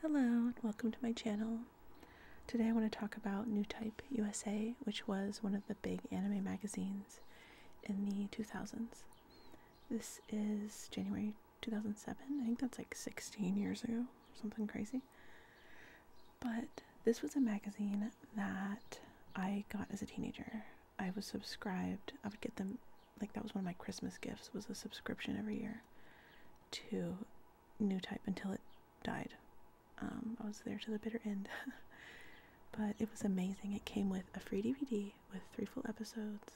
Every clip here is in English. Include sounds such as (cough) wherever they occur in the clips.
Hello and welcome to my channel. Today I want to talk about New Type USA, which was one of the big anime magazines in the 2000s. This is January 2007. I think that's like 16 years ago, or something crazy. But this was a magazine that I got as a teenager. I was subscribed. I would get them like that was one of my Christmas gifts was a subscription every year to New Type until it died. Um, I was there to the bitter end. (laughs) but it was amazing. It came with a free DVD with three full episodes.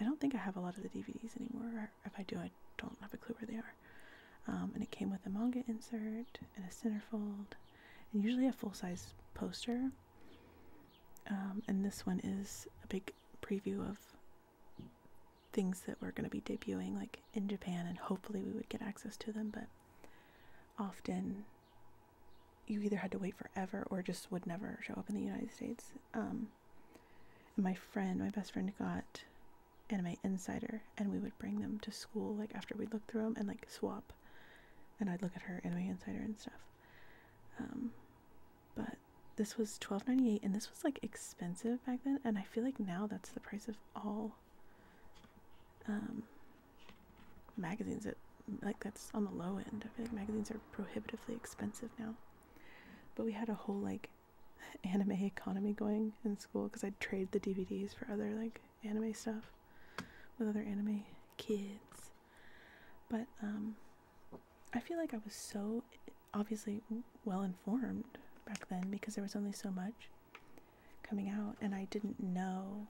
I don't think I have a lot of the DVDs anymore. If I do, I don't have a clue where they are. Um, and it came with a manga insert and a centerfold, and usually a full size poster. Um, and this one is a big preview of things that were going to be debuting like in Japan and hopefully we would get access to them but often you either had to wait forever or just would never show up in the United States um, and my friend my best friend got Anime Insider and we would bring them to school like after we'd look through them and like swap and I'd look at her Anime Insider and stuff um, but this was twelve ninety eight, and this was like expensive back then and I feel like now that's the price of all um, magazines at like that's on the low end. I feel like magazines are prohibitively expensive now. But we had a whole like (laughs) anime economy going in school because I'd trade the DVDs for other like anime stuff with other anime kids. But um, I feel like I was so obviously well informed back then because there was only so much coming out and I didn't know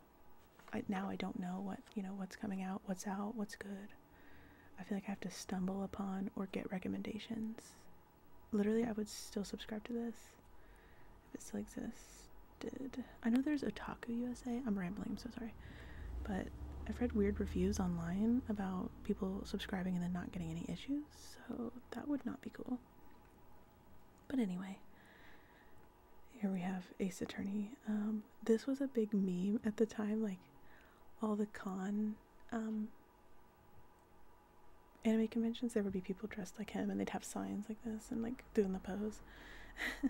I, now I don't know what you know what's coming out what's out what's good I feel like I have to stumble upon or get recommendations literally I would still subscribe to this if it still existed I know there's Otaku USA I'm rambling I'm so sorry but I've read weird reviews online about people subscribing and then not getting any issues, so that would not be cool. But anyway, here we have Ace Attorney. Um, this was a big meme at the time, like all the con um, anime conventions, there would be people dressed like him and they'd have signs like this and like doing the pose. (laughs)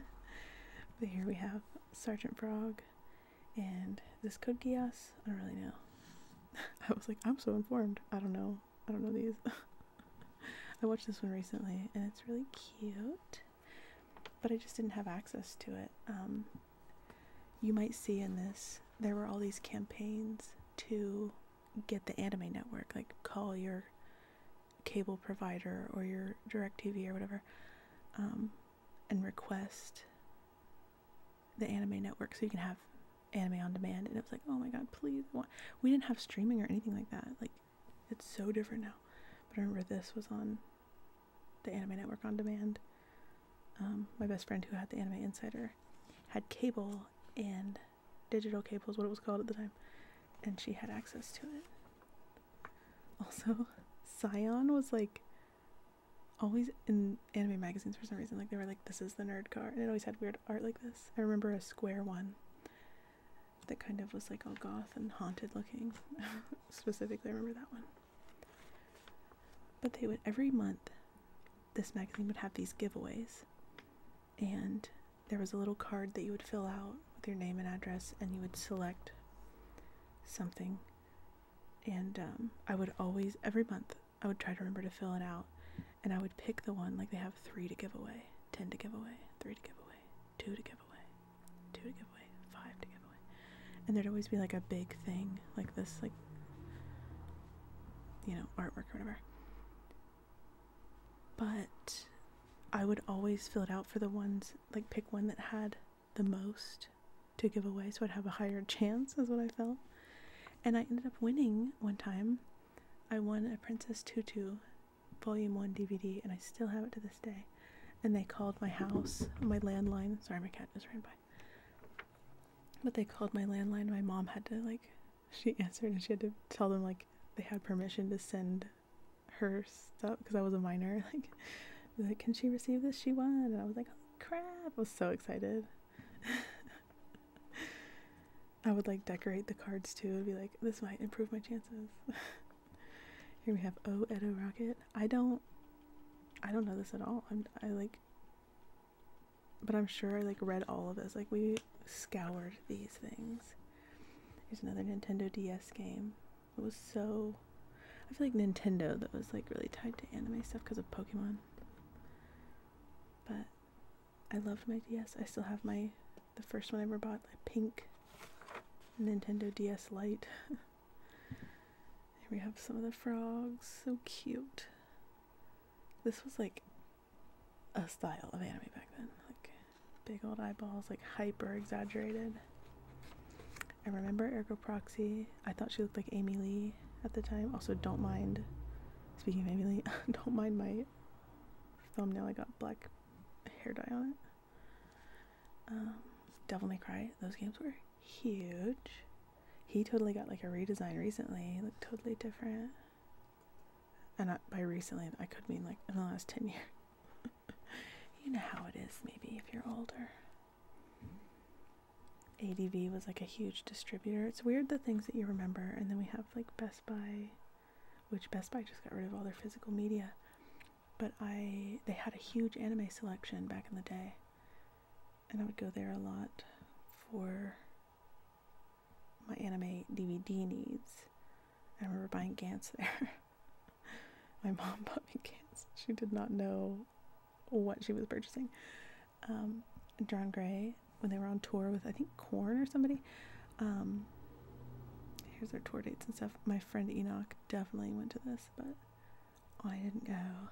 but here we have Sergeant Frog and this could get us. I don't really know. (laughs) I was like, I'm so informed. I don't know. I don't know these. (laughs) I watched this one recently and it's really cute, but I just didn't have access to it. Um, you might see in this, there were all these campaigns to get the anime network, like call your cable provider or your direct TV or whatever, um, and request the anime network so you can have anime on demand and it was like oh my god please we didn't have streaming or anything like that like it's so different now but i remember this was on the anime network on demand um, my best friend who had the anime insider had cable and digital cable is what it was called at the time and she had access to it (laughs) also scion was like always in anime magazines for some reason like they were like this is the nerd car and it always had weird art like this i remember a square one that kind of was like all goth and haunted looking (laughs) specifically i remember that one but they would every month this magazine would have these giveaways and there was a little card that you would fill out with your name and address and you would select something and um, I would always every month I would try to remember to fill it out, and I would pick the one like they have three to give away, ten to give away, three to give away, two to give away, two to give away, five to give away, and there'd always be like a big thing like this like you know artwork or whatever. But I would always fill it out for the ones like pick one that had the most to give away so I'd have a higher chance, is what I felt. And I ended up winning one time. I won a Princess Tutu Volume 1 DVD, and I still have it to this day. And they called my house, my landline. Sorry, my cat just ran by. But they called my landline. My mom had to, like, she (laughs) answered and she had to tell them, like, they had permission to send her stuff because I was a minor. (laughs) Like, like, Can she receive this? She won. And I was like, oh, crap. I was so excited. (laughs) I would like decorate the cards too I'd be like, This might improve my chances. (laughs) Here we have O Edo Rocket. I don't I don't know this at all. I'm I like but I'm sure I like read all of this. Like we scoured these things. Here's another Nintendo DS game. It was so I feel like Nintendo that was like really tied to anime stuff because of Pokemon. But I loved my DS. I still have my the first one I ever bought, a pink Nintendo DS Lite. (laughs) Here we have some of the frogs. So cute. This was like a style of anime back then. Like big old eyeballs, like hyper exaggerated. I remember Ergo Proxy. I thought she looked like Amy Lee at the time. Also, don't mind. Speaking of Amy Lee, (laughs) don't mind my thumbnail. I got black hair dye on it. Um, Devil May Cry. Those games were huge. He totally got like a redesign recently. Looked totally different. And by recently, I could mean like in the last ten (laughs) years. you know how it is. Maybe if you're older. ADV was like a huge distributor. It's weird the things that you remember, and then we have like Best Buy, which Best Buy just got rid of all their physical media. But I they had a huge anime selection back in the day, and I would go there a lot for my anime DVD needs. I remember buying Gantz there. (laughs) my mom (laughs) bought me Gantz. She did not know what she was purchasing. Um, John Gray, when they were on tour with I think Corn or somebody, um, here's their tour dates and stuff. My friend Enoch definitely went to this, but I didn't go.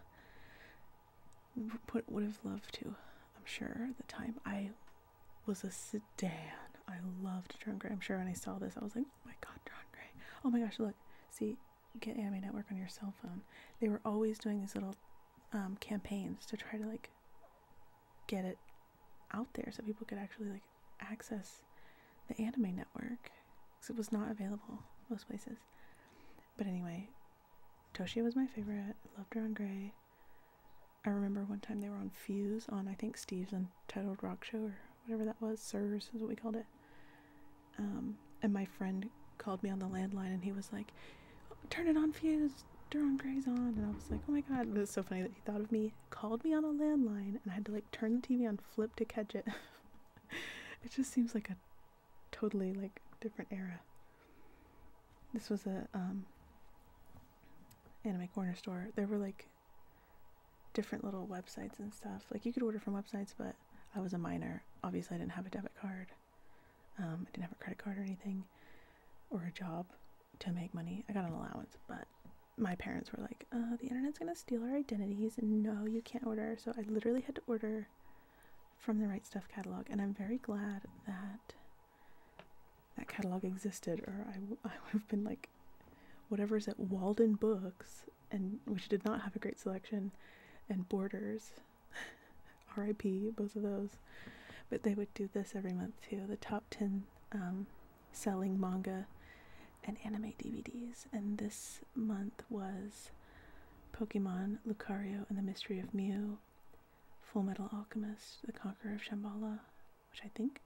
But would have loved to. I'm sure the time I was a sedan. I loved John Gray. I'm sure when I saw this, I was like, oh my god, John Gray. Oh my gosh, look, see, get anime network on your cell phone they were always doing these little um, campaigns to try to like get it out there so people could actually like access the anime network because it was not available most places but anyway Toshi was my favorite loved her on gray i remember one time they were on fuse on i think steve's untitled rock show or whatever that was sirs is what we called it um, and my friend called me on the landline and he was like, "Turn it on, fuse. Duron Gray's on." And I was like, "Oh my god, it was so funny that he thought of me." Called me on a landline and I had to like turn the TV on, flip to catch it. (laughs) it just seems like a totally like different era. This was a um, anime corner store. There were like different little websites and stuff. Like you could order from websites, but I was a minor. Obviously, I didn't have a debit card. Um, I didn't have a credit card or anything, or a job to make money. I got an allowance, but my parents were like, uh, the internet's gonna steal our identities. No, you can't order. So I literally had to order from the Right Stuff catalog, and I'm very glad that that catalog existed, or I would have been like, whatever's at Walden Books, and which did not have a great selection, and Borders, (laughs) RIP, both of those. But they would do this every month too the top 10 um, selling manga and anime DVDs. And this month was Pokemon, Lucario, and the Mystery of Mew, Full Metal Alchemist, The Conqueror of Shambhala, which I think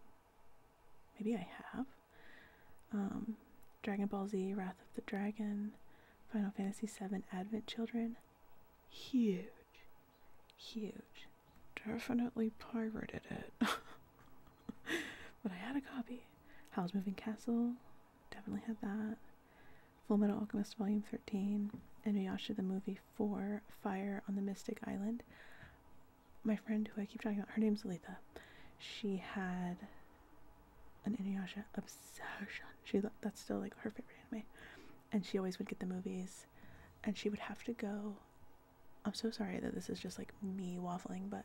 maybe I have, um, Dragon Ball Z, Wrath of the Dragon. Final Fantasy VII Advent Children. Huge. Huge. Definitely pirated it. (laughs) but I had a copy. Howl's Moving Castle. Definitely had that. Full Metal Alchemist Volume 13. Inuyasha the Movie 4. Fire on the Mystic Island. My friend who I keep talking about, her name's Letha. She had an Inuyasha obsession. She that's still like her favorite anime, and she always would get the movies, and she would have to go. I'm so sorry that this is just like me waffling, but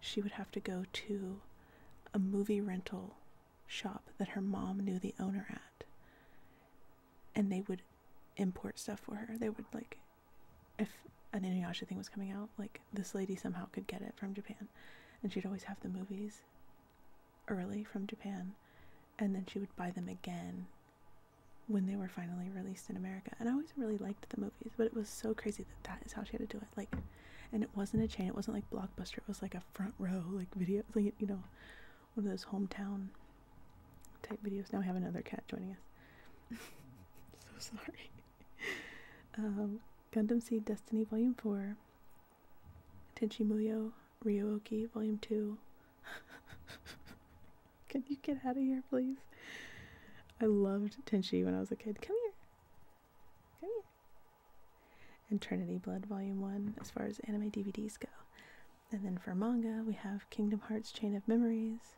she would have to go to a movie rental shop that her mom knew the owner at, and they would import stuff for her. They would like, if an Inuyasha thing was coming out, like this lady somehow could get it from Japan, and she'd always have the movies early from Japan, and then she would buy them again when they were finally released in America. And I always really liked the movies, but it was so crazy that that is how she had to do it. Like, and it wasn't a chain; it wasn't like Blockbuster. It was like a front row, like video, (laughs) you know, one of those hometown type videos. Now we have another cat joining us. (laughs) so sorry. (laughs) um, Gundam Seed Destiny Volume Four Tenchi Muyo Ryuoki Volume 2. (laughs) Can you get out of here, please? I loved Tenchi when I was a kid. Come here. Come here. And Trinity Blood Volume 1, as far as anime DVDs go. And then for manga, we have Kingdom Hearts Chain of Memories,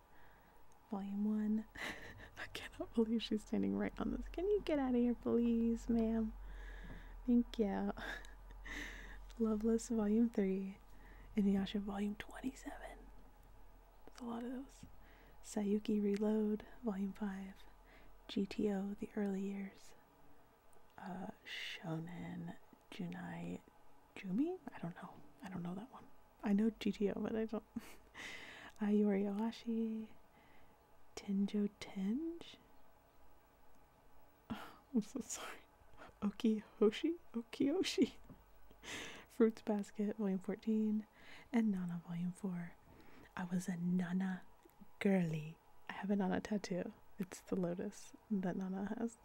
Volume 1. (laughs) I cannot can (laughs) believe she's standing right on this. Can you get out of here, please, ma'am? Thank you. (laughs) Loveless Volume 3. Inuyasha Volume 27. That's a lot of those. Sayuki Reload Volume 5. GTO The Early Years. Uh, Shonen Junai Jumi? I don't know. I don't know that one. I know GTO, but I don't. (laughs) Ayori Owashi, Tenjo Tenj? (laughs) I'm so sorry. Okiyoshi? Okiyoshi. (laughs) Fruits Basket, Volume 14, and Nana, Volume 4. I was a Nana girly. I have a Nana tattoo. It's the lotus that Nana has.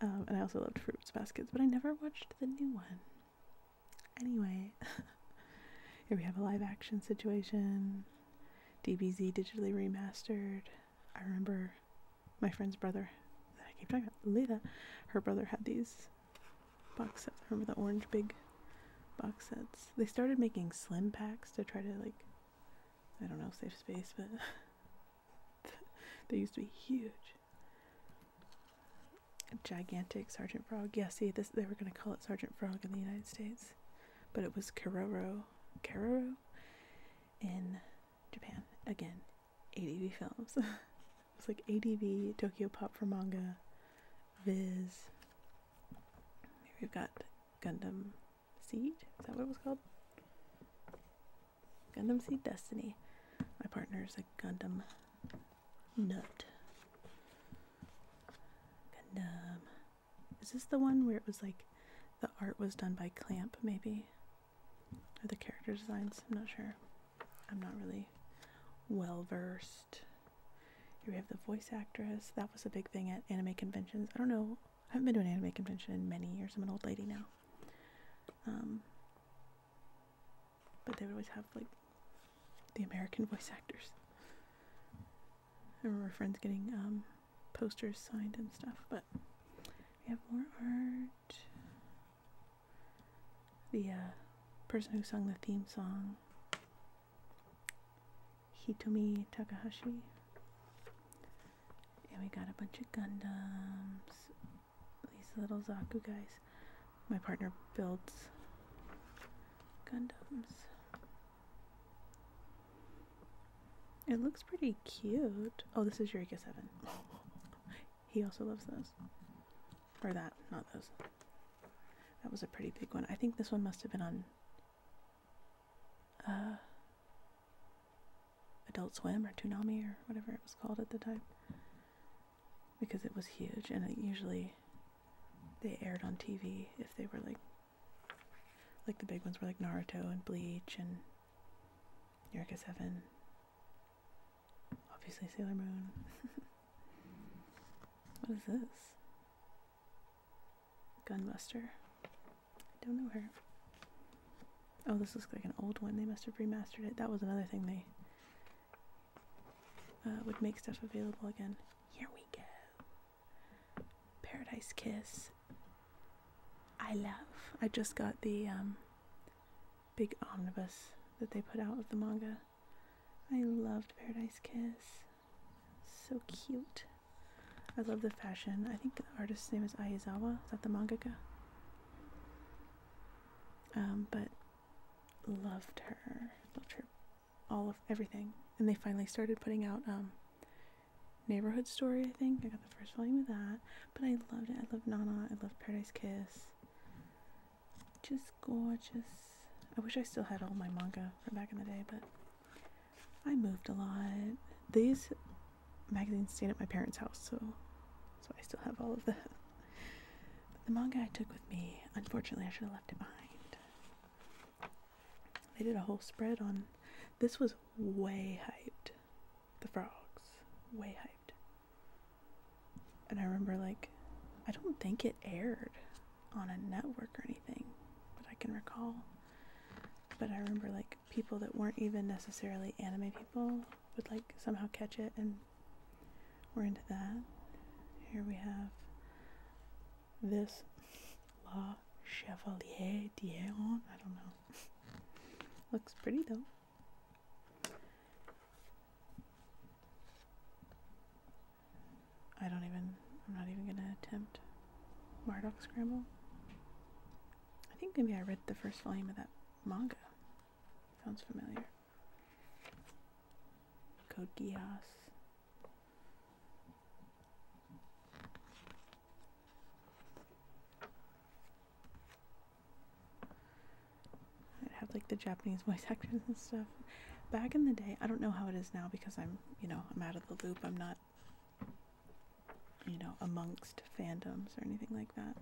Um, and I also loved Fruits Baskets, but I never watched the new one. Anyway, (laughs) here we have a live action situation. DBZ digitally remastered. I remember my friend's brother that I keep talking about, Leda, her brother had these box sets. remember the orange big box sets. They started making slim packs to try to, like, I don't know, save space, but (laughs) they used to be huge. gigantic Sergeant Frog. Yeah, see, this, they were going to call it Sergeant Frog in the United States but it was Keroro, Keroro in Japan. Again, ADV films. (laughs) it was like ADV, Tokyo Pop for manga, Viz. Here we've got Gundam Seed. Is that what it was called? Gundam Seed Destiny. My partner is a Gundam nut. Gundam. Is this the one where it was like the art was done by Clamp, maybe? Or the character designs? I'm not sure. I'm not really well versed. Here we have the voice actress. That was a big thing at anime conventions. I don't know. I haven't been to an anime convention in many years. I'm an old lady now. Um, but they would always have like the American voice actors. I remember friends getting um, posters signed and stuff, but we have more art. The uh, person who sung the theme song, Hitomi Takahashi. And we got a bunch of Gundams, these little Zaku guys. My partner builds Gundams. It looks pretty cute. Oh, this is Eureka 7. he also loves those. Or that, not those. That was a pretty big one. I think this one must have been on uh, Adult Swim or Toonami or whatever it was called at the time. Because it was huge and it usually they aired on TV if they were like like the big ones were like Naruto and Bleach and Eureka 7 obviously Sailor Moon (laughs) what is this Gunbuster I don't know her oh this looks like an old one they must have remastered it that was another thing they uh, would make stuff available again here we go Paradise Kiss. I love. I just got the um, big omnibus that they put out of the manga. I loved Paradise Kiss. So cute. I love the fashion. I think the artist's name is Ayazawa. Is that the mangaka? Um, but loved her. Loved her all of everything. And they finally started putting out um, Neighborhood Story, I think. I got the first volume of that. But I loved it. I loved Nana. I loved Paradise Kiss. Just gorgeous. I wish I still had all my manga from back in the day, but I moved a lot. These magazines stayed at my parents' house, so so I still have all of that. (laughs) the manga I took with me, unfortunately, I should have left it behind. They did a whole spread on this was way hyped. The frogs. Way hyped. And I remember like I don't think it aired on a network or anything, but I can recall. But I remember like people that weren't even necessarily anime people would like somehow catch it and we're into that. Here we have this La Chevalier d'Aron. I don't know. (laughs) Looks pretty though. I don't even, I'm not even gonna attempt Marduk Scramble. I think maybe I read the first volume of that manga. Sounds familiar. Code Geass. It had like the Japanese (laughs) voice actors and stuff. Back in the day, I don't know how it is now because I'm, you know, I'm out of the loop. I'm not, you know, amongst fandoms or anything like that.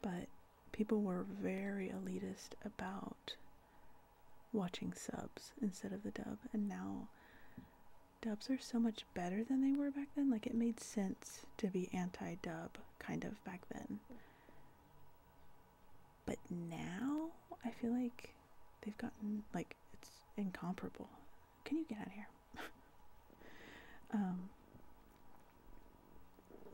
But people were very elitist about watching subs instead of the dub, and now dubs are so much better than they were back then. Like, it made sense to be anti dub, kind of, back then. But now, I feel like they've gotten, like, it's incomparable. Can you get out of here? (laughs) um,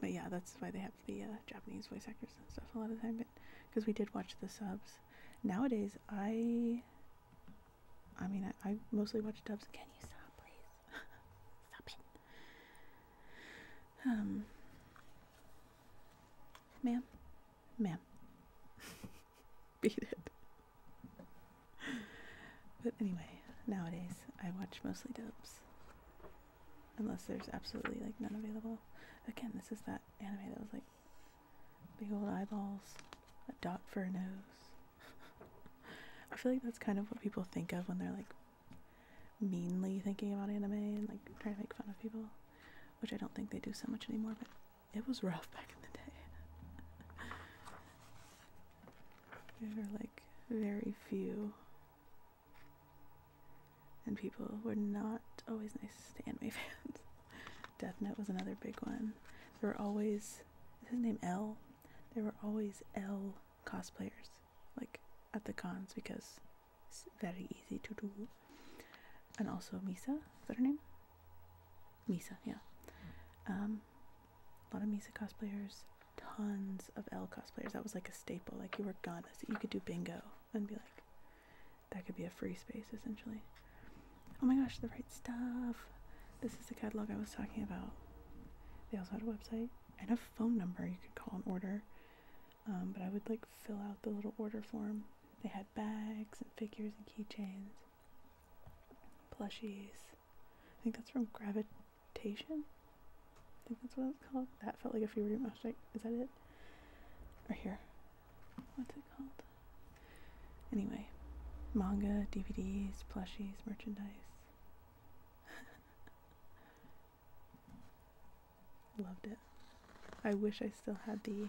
but yeah, that's why they have the uh, Japanese voice actors and stuff a lot of the time because we did watch the subs. Nowadays, I, I mean, I, I mostly watch dubs. Can you stop, please? (laughs) stop it. Um, ma'am, ma'am, (laughs) beat it. But anyway, nowadays I watch mostly dubs. Unless there's absolutely like none available. Again, this is that anime that was like Big old eyeballs, a dot for a nose. (laughs) I feel like that's kind of what people think of when they're like meanly thinking about anime and like trying to make fun of people, which I don't think they do so much anymore, but it was rough back in the day. (laughs) there are like very few and people were not always nice to anime (laughs) fans. Death Note was another big one. There were always his name L. There were always L cosplayers like at the cons because it's very easy to do. And also Misa, is that her name? Misa, yeah. Um, a lot of Misa cosplayers, tons of L cosplayers. That was like a staple. Like you were gone, so you could do bingo and be like, that could be a free space essentially. Oh my gosh, the right stuff. This is the catalog I was talking about. They also had a website and a phone number you could call and order. Um, but I would like fill out the little order form. They had bags and figures and keychains, plushies. I think that's from Gravitation. I think that's what it's called. That felt like a fever dream. is that it? Right here what's it called? Anyway, manga, DVDs, plushies, merchandise. (laughs) Loved it. I wish I still had the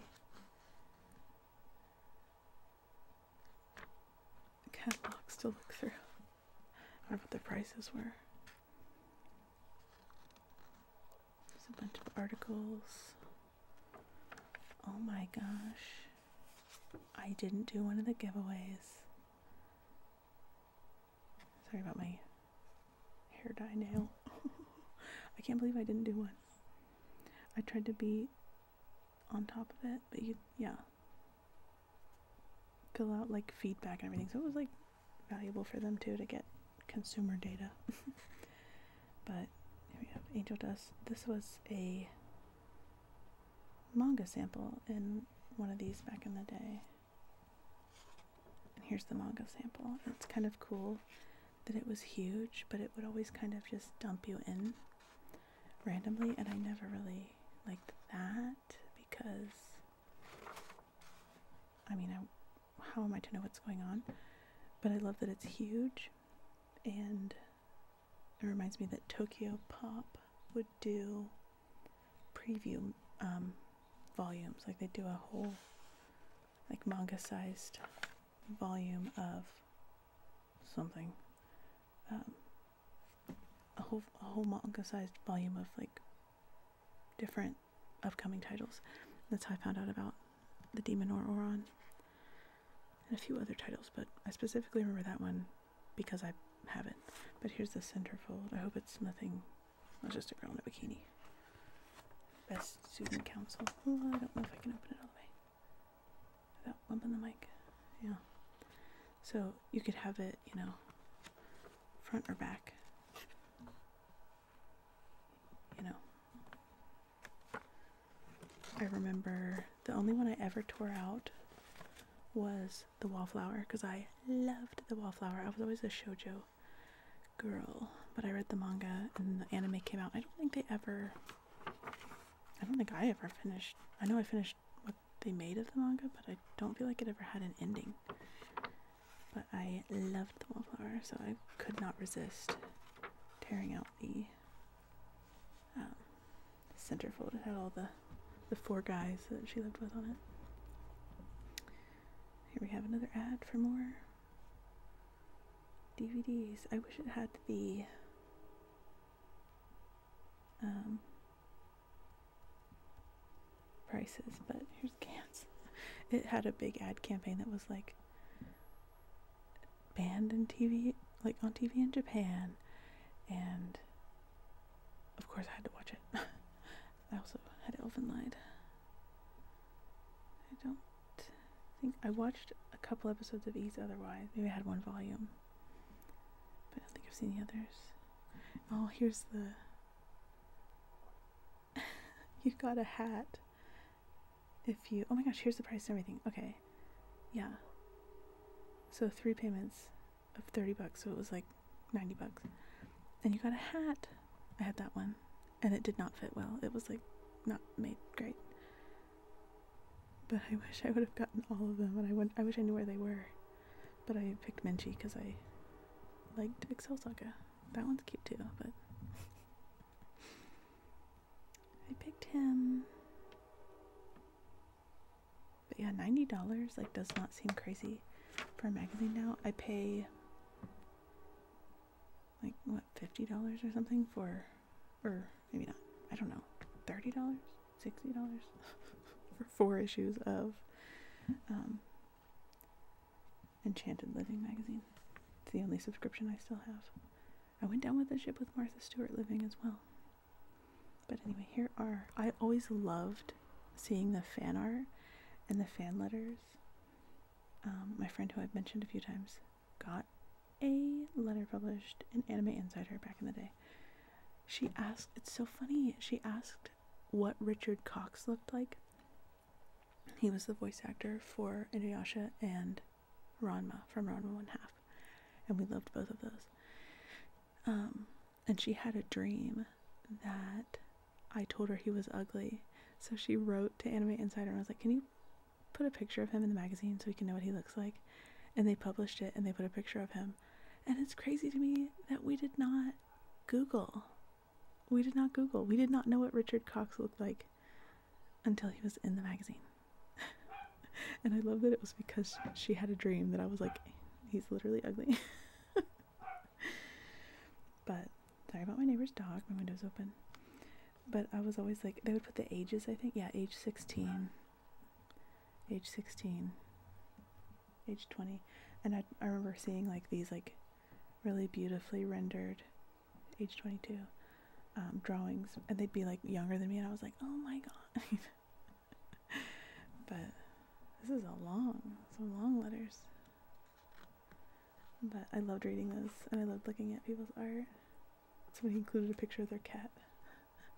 catalogs to look through. I wonder what the prices were. There's a bunch of articles. Oh my gosh. I didn't do one of the giveaways. Sorry about my hair dye nail. (laughs) I can't believe I didn't do one. I tried to be on top of it, but you, yeah. Fill out like feedback and everything. So it was like valuable for them too to get consumer data. (laughs) but here we have Angel Dust. This was a manga sample in one of these back in the day. And here's the manga sample. It's kind of cool that it was huge, but it would always kind of just dump you in randomly, and I never really liked that because I mean, I how am I to know what's going on? But I love that it's huge and it reminds me that Tokyo Pop would do preview um, volumes. Like they do a whole like manga sized volume of something. Um, a whole a whole manga sized volume of like different upcoming titles. That's how I found out about the Demon or Oron and a few other titles, but I specifically remember that one because I have it. But here's the centerfold. I hope it's nothing. Not just a girl in a bikini. Best student council. Oh, I don't know if I can open it all the way without bumping the mic. Yeah. So you could have it, you know, front or back you know. I remember the only one I ever tore out was the wallflower because I loved the wallflower. I was always a shojo girl, but I read the manga and the anime came out. I don't think they ever I don't think I ever finished. I know I finished what they made of the manga, but I don't feel like it ever had an ending but I loved the wallflower, so I could not resist tearing out the um, centerfold. It had all the, the four guys that she lived with on it. Here we have another ad for more DVDs. I wish it had the um, prices, but here's cans. It had a big ad campaign that was like banned on TV, like on TV in Japan, and of course I had to watch it. (laughs) I also had Elven Lied. I don't think I watched a couple episodes of Ease otherwise. Maybe I had one volume. But I don't think I've seen the others. Oh, here's the (laughs) you got a hat if you oh my gosh here's the price and everything okay yeah so three payments of 30 bucks so it was like 90 bucks and you got a hat i had that one and it did not fit well it was like not made great but i wish i would have gotten all of them and i went i wish i knew where they were but i picked minchi because i liked excel saga that one's cute too but I picked him. But yeah, ninety dollars like does not seem crazy for a magazine now. I pay like what fifty dollars or something for, or maybe not. I don't know, thirty dollars, sixty dollars (laughs) for four issues of um, Enchanted Living magazine. It's the only subscription I still have. I went down with the ship with Martha Stewart Living as well. But anyway, here are. I always loved seeing the fan art and the fan letters. Um, my friend who I've mentioned a few times got a letter published in Anime Insider back in the day. She asked, it's so funny, she asked what Richard Cox looked like he was the voice actor for Inuyasha and Ranma from Ranma One Half, and we loved both of those. Um, and she had a dream that I told her he was ugly, so she wrote to Anime Insider and I was like, "Can you put a picture of him in the magazine so we can know what he looks like?" And they published it and they put a picture of him, and it's crazy to me that we did not Google we did not Google. We did not know what Richard Cox looked like until he was in the magazine. (laughs) and I love that it was because she had a dream that I was like, he's literally ugly. (laughs) but sorry about my neighbor's dog. My window's open. But I was always like, they would put the ages, I think. Yeah, age 16. Age 16. Age 20. And I, I remember seeing like these, like, really beautifully rendered age 22 um, drawings and they'd be like younger than me and i was like oh my god (laughs) but this is a long some long letters but i loved reading those and i loved looking at people's art So somebody included a picture of their cat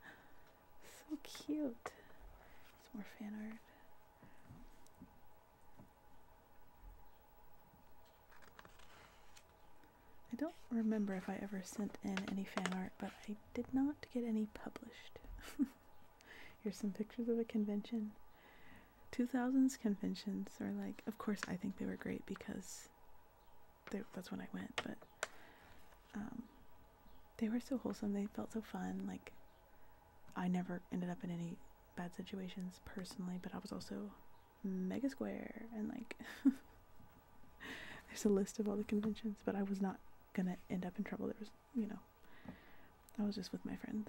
(laughs) so cute It's more fan art I don't remember if I ever sent in any fan art, but I did not get any published. (laughs) Here's some pictures of a convention. 2000s conventions are like, of course, I think they were great because that's when I went, but um, they were so wholesome. They felt so fun. Like, I never ended up in any bad situations personally, but I was also mega square and like (laughs) there's a list of all the conventions but i was not gonna end up in trouble there was you know i was just with my friends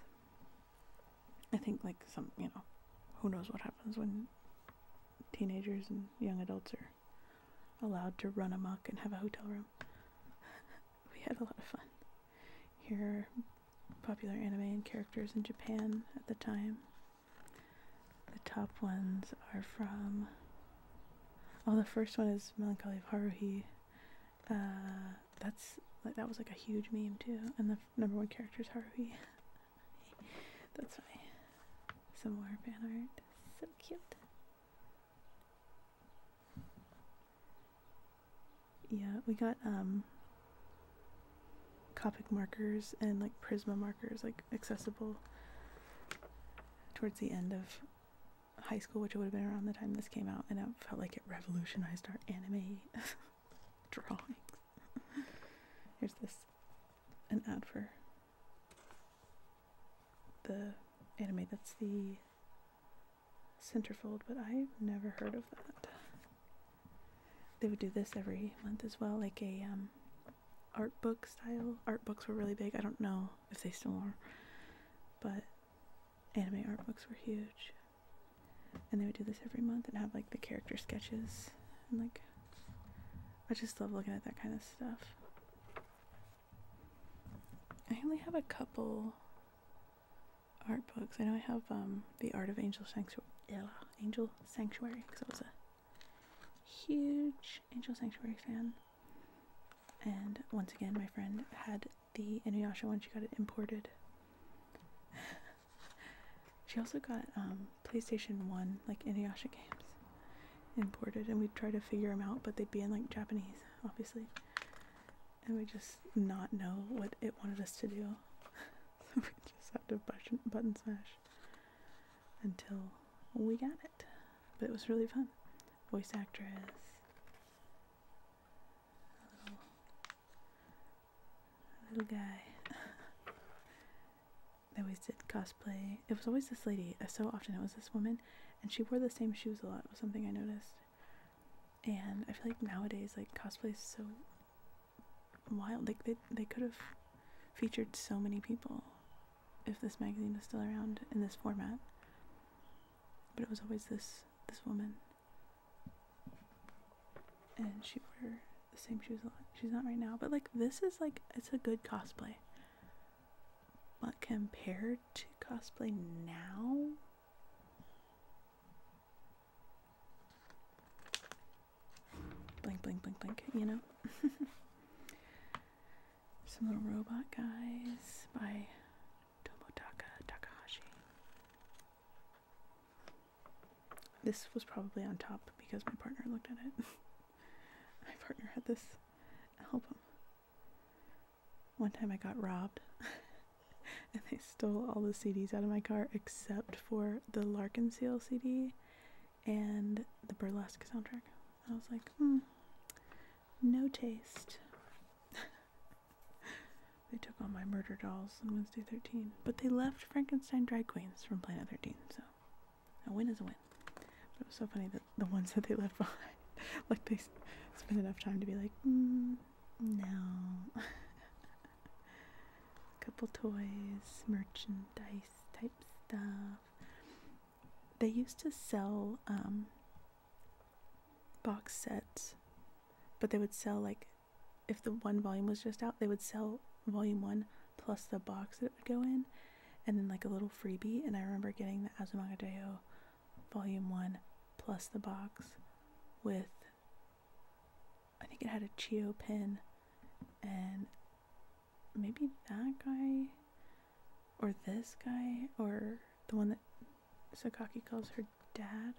i think like some you know who knows what happens when teenagers and young adults are allowed to run amok and have a hotel room (laughs) we had a lot of fun here popular anime and characters in Japan at the time. The top ones are from. Oh, the first one is Melancholy of Haruhi. Uh, that's like that was like a huge meme too, and the number one character is Haruhi. (laughs) that's funny. Some more fan art. So cute. Yeah, we got um Copic markers and like Prisma markers, like accessible towards the end of high school, which would have been around the time this came out, and it felt like it revolutionized our anime (laughs) drawings. (laughs) Here's this an ad for the anime that's the centerfold, but I've never heard of that they would do this every month as well, like a um, art book style. Art books were really big. I don't know if they still are, but anime art books were huge. And they would do this every month and have like the character sketches and like I just love looking at that kind of stuff. I only have a couple art books. I know I have um, The Art of Angel Sanctuary. Angel Sanctuary, because I was a huge Angel Sanctuary fan. And once again, my friend had the Inuyasha one. She got it imported. (laughs) she also got um, PlayStation 1, like Inuyasha games, imported. And we'd try to figure them out, but they'd be in like Japanese, obviously. And we just not know what it wanted us to do. (laughs) so (laughs) we just had to button, button smash until we got it. But it was really fun. Voice actress, little, little guy. (laughs) they always did cosplay. It was always this lady. Uh, so often it was this woman, and she wore the same shoes a lot. Was something I noticed. And I feel like nowadays, like cosplay is so wild. Like they they could have featured so many people if this magazine was still around in this format. But it was always this this woman, and she wore the same shoes a She's not right now, but like this is like it's a good cosplay. But compared to cosplay now, Blink, blink, blink, blink, you know? (laughs) Some little robot guys by Tomotaka Takahashi. This was probably on top because my partner looked at it. (laughs) my partner had this album. One time I got robbed (laughs) and they stole all the CDs out of my car except for the Larkin Seal CD and the Burlesque soundtrack. I was like, hmm, no taste. (laughs) they took all my murder dolls on Wednesday 13, but they left Frankenstein Drag Queens from Planet 13, so a win is a win. it was so funny that the ones that they left (laughs) behind, like they spent enough time to be like, hmm, no. (laughs) a (laughs) couple toys, merchandise type stuff. They used to sell um, box sets, but they would sell like if the one volume was just out, they would sell volume one plus the box that it would go in, and then like a little freebie. And I remember getting the Azumanga Daioh volume one plus the box with I think it had a Chio pin, and maybe that guy, or this guy, or the one that Sakaki calls her dad.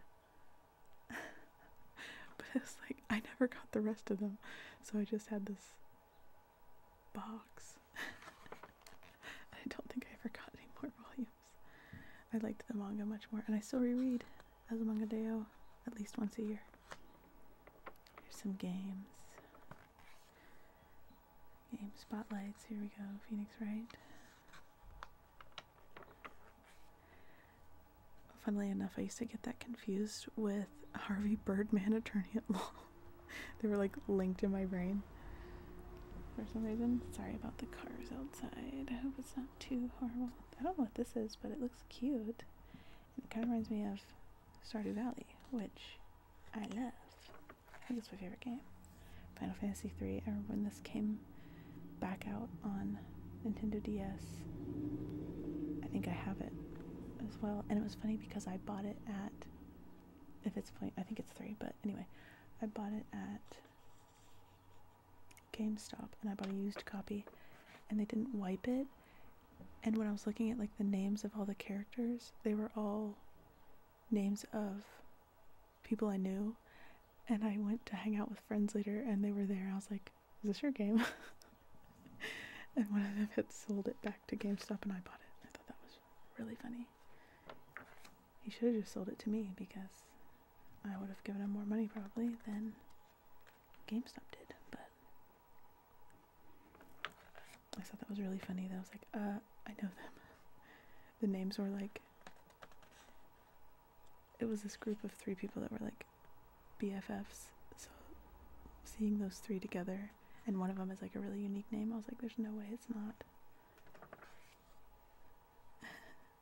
(laughs) but it's like I never got the rest of them, so I just had this box. (laughs) I don't think I ever got any more volumes. I liked the manga much more, and I still reread as a Azumangadeo at least once a year. Here's some games. Game spotlights. Here we go. Phoenix Wright. Funnily enough, I used to get that confused with Harvey Birdman, (laughs) attorney at law. they were like linked in my brain for some reason. Sorry about the cars outside. I hope it's not too horrible. I don't know what this is, but it looks cute. it kind of reminds me of Stardew Valley, which I love. I think it's my favorite game. Final Fantasy III. I remember when this came back out on Nintendo DS. I think I have it as well. And it was funny because I bought it at, if it's point, I think it's three, but anyway, I bought it at GameStop and I bought a used copy and they didn't wipe it. And when I was looking at like the names of all the characters, they were all names of people I knew. And I went to hang out with friends later and they were there. I was like, is this your game? (laughs) and one of them had sold it back to GameStop and I bought it. I thought that was really funny. He should have just sold it to me because I would have given him more money probably than GameStop did, but I thought that was really funny. That I was like, uh, I know them. (laughs) The names were like, it was this group of three people that were like BFFs. So seeing those three together, and one of them is like a really unique name, I was like, there's no way it's not. (laughs)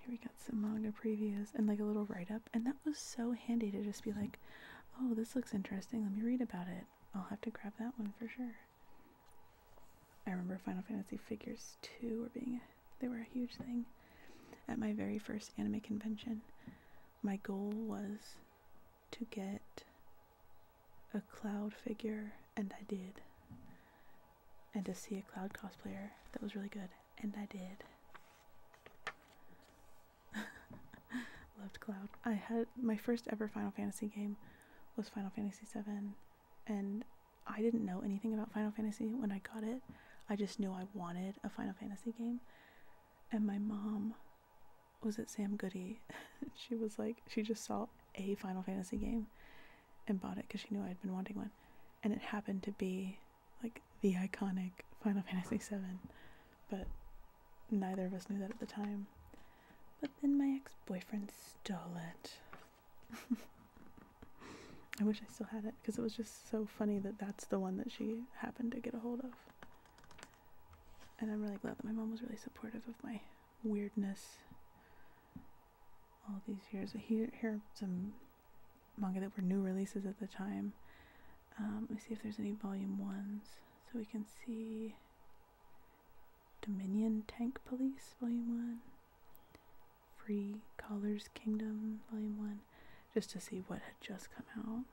Here we got some manga previews and like a little write up, and that was so handy to just be like, oh, this looks interesting, let me read about it. I'll have to grab that one for sure. I remember Final Fantasy figures too were being they were a huge thing. At my very first anime convention, my goal was to get a cloud figure and I did and to see a cloud cosplayer that was really good, and I did. (laughs) Loved Cloud. I had my first ever Final Fantasy game was Final Fantasy VII, and I didn't know anything about Final Fantasy when I got it. I just knew I wanted a Final Fantasy game, and my mom was it Sam Goody. (laughs) she was like, she just saw a Final Fantasy game and bought it because she knew I'd been wanting one and it happened to be like the iconic Final Fantasy VII, but neither of us knew that at the time. But then my ex boyfriend stole it. (laughs) I wish I still had it because it was just so funny that that's the one that she happened to get a hold of. And I'm really glad that my mom was really supportive of my weirdness all these years. Here, here are some manga that were new releases at the time. Um, let me see if there's any volume ones. So we can see Dominion Tank Police, volume one. Free Colors Kingdom, volume one. Just to see what had just come out.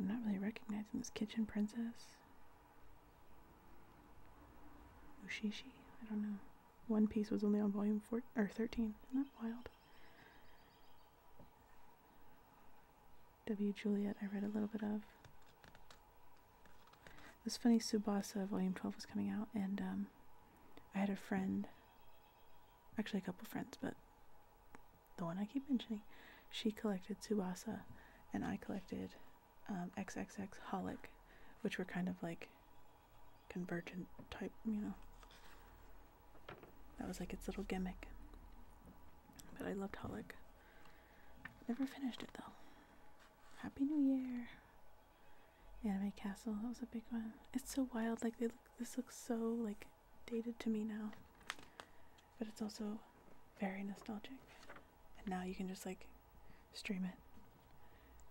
I'm not really recognizing this Kitchen Princess. Ushishi? I don't know. One Piece was only on volume 4 or 13. Isn't that wild? W. Juliet, I read a little bit of. This funny, Subasa Volume 12 was coming out, and um, I had a friend, actually a couple friends, but the one I keep mentioning, she collected Subasa, and I collected um, XXX Holic, which were kind of like convergent type, you know. That was like its little gimmick. But I loved Holic. Never finished it though. Happy New Year! Anime Castle, that was a big one. It's so wild, like they look this looks so like dated to me now. But it's also very nostalgic. And now you can just like stream it.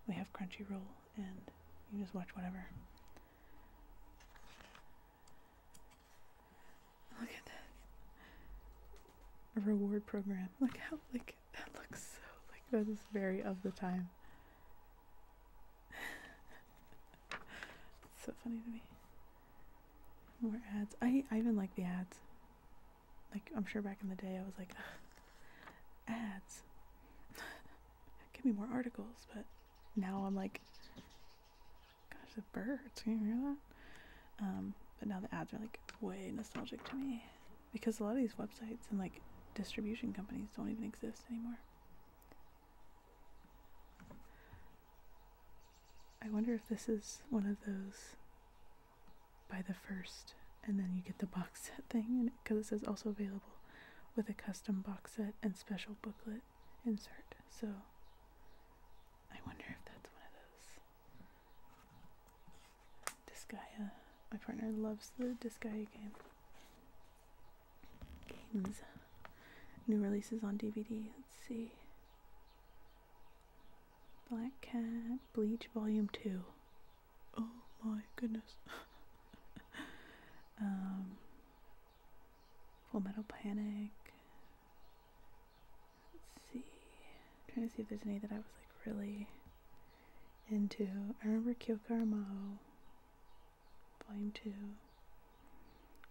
We have Crunchyroll and you just watch whatever. Look at that. A reward program. Look how like that looks so like that is very of the time. so funny to me. More ads. I, I even like the ads. Like I'm sure back in the day I was like ads give me more articles, but now I'm like, gosh, the birds, can you hear that? Um, but now the ads are like way nostalgic to me because a lot of these websites and like distribution companies don't even exist anymore. I wonder if this is one of those buy the first and then you get the box set thing and because it says also available with a custom box set and special booklet insert. So I wonder if that's one of those. Disgaea. Uh, my partner loves the Disgaea game. Games. New releases on DVD. Let's see. Black Cat Bleach Volume 2 oh my goodness. (laughs) um, Full Metal Panic. Let's see. trying to see if there's any that I was like really into. I remember Kyokara Maho, Volume 2,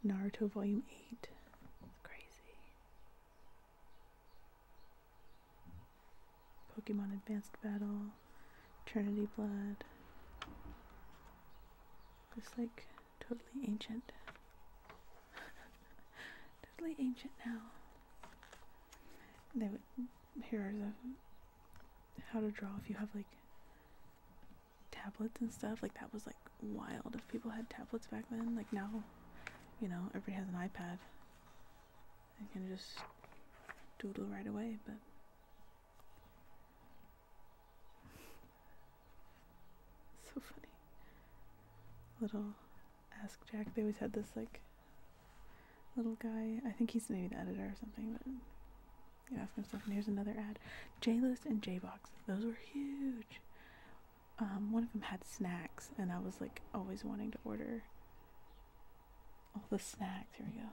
Naruto Volume 8. crazy. Pokemon Advanced Battle, Trinity Blood. Just like totally ancient. (laughs) totally ancient now. They would, here how to draw if you have like tablets and stuff. Like that was like wild if people had tablets back then. Like now, you know, everybody has an iPad. I can just doodle right away, but (laughs) so funny. Little Ask Jack, they always had this like little guy. I think he's maybe the editor or something, but you ask him stuff. And here's another ad: J-List and J-Box. Those were huge. Um, one of them had snacks, and I was like always wanting to order all the snacks. Here we go.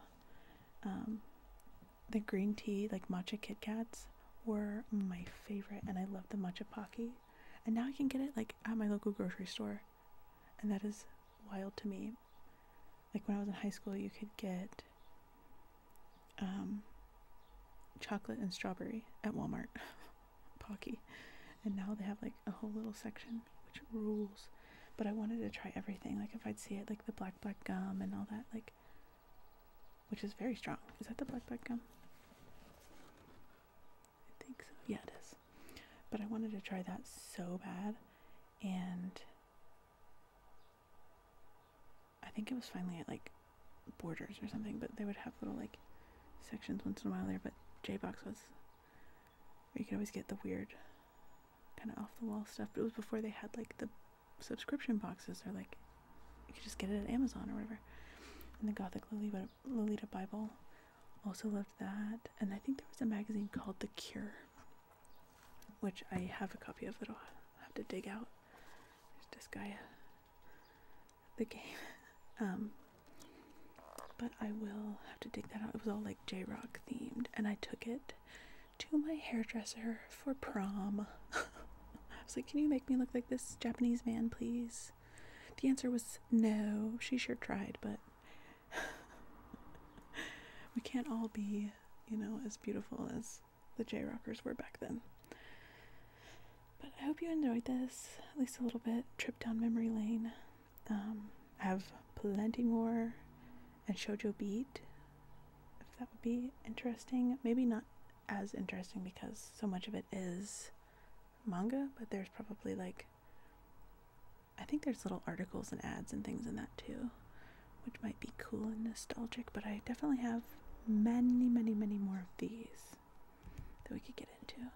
Um, the green tea, like matcha Kit were my favorite, and I love the matcha pocky. And now I can get it like at my local grocery store, and that is wild to me. Like when I was in high school, you could get um, chocolate and strawberry at Walmart, (laughs) pocky, and now they have like a whole little section which rules. But I wanted to try everything. Like if I'd see it, like the black black gum and all that, like which is very strong. Is that the black black gum? I think so. Yeah, it is. But I wanted to try that so bad, and I think it was finally at like Borders or something. But they would have little like sections once in a while there. But J Box was. you could always get the weird kind of off the wall stuff. But it was before they had like the subscription boxes or like you could just get it at Amazon or whatever. And the Gothic Lolita, Lolita Bible, also loved that. And I think there was a magazine called The Cure, which I have a copy of that I'll have to dig out. There's this guy. the game. (laughs) Um, but I will have to dig that out. It was all like J Rock themed, and I took it to my hairdresser for prom. (laughs) I was like, Can you make me look like this Japanese man, please? The answer was no. She sure tried, but (laughs) we can't all be, you know, as beautiful as the J Rockers were back then. But I hope you enjoyed this, at least a little bit, trip down memory lane. Um, I have plenty more and shojo Beat, if that would be interesting. Maybe not as interesting because so much of it is manga, but there's probably like, I think there's little articles and ads and things in that too, which might be cool and nostalgic, but I definitely have many, many, many more of these that we could get into.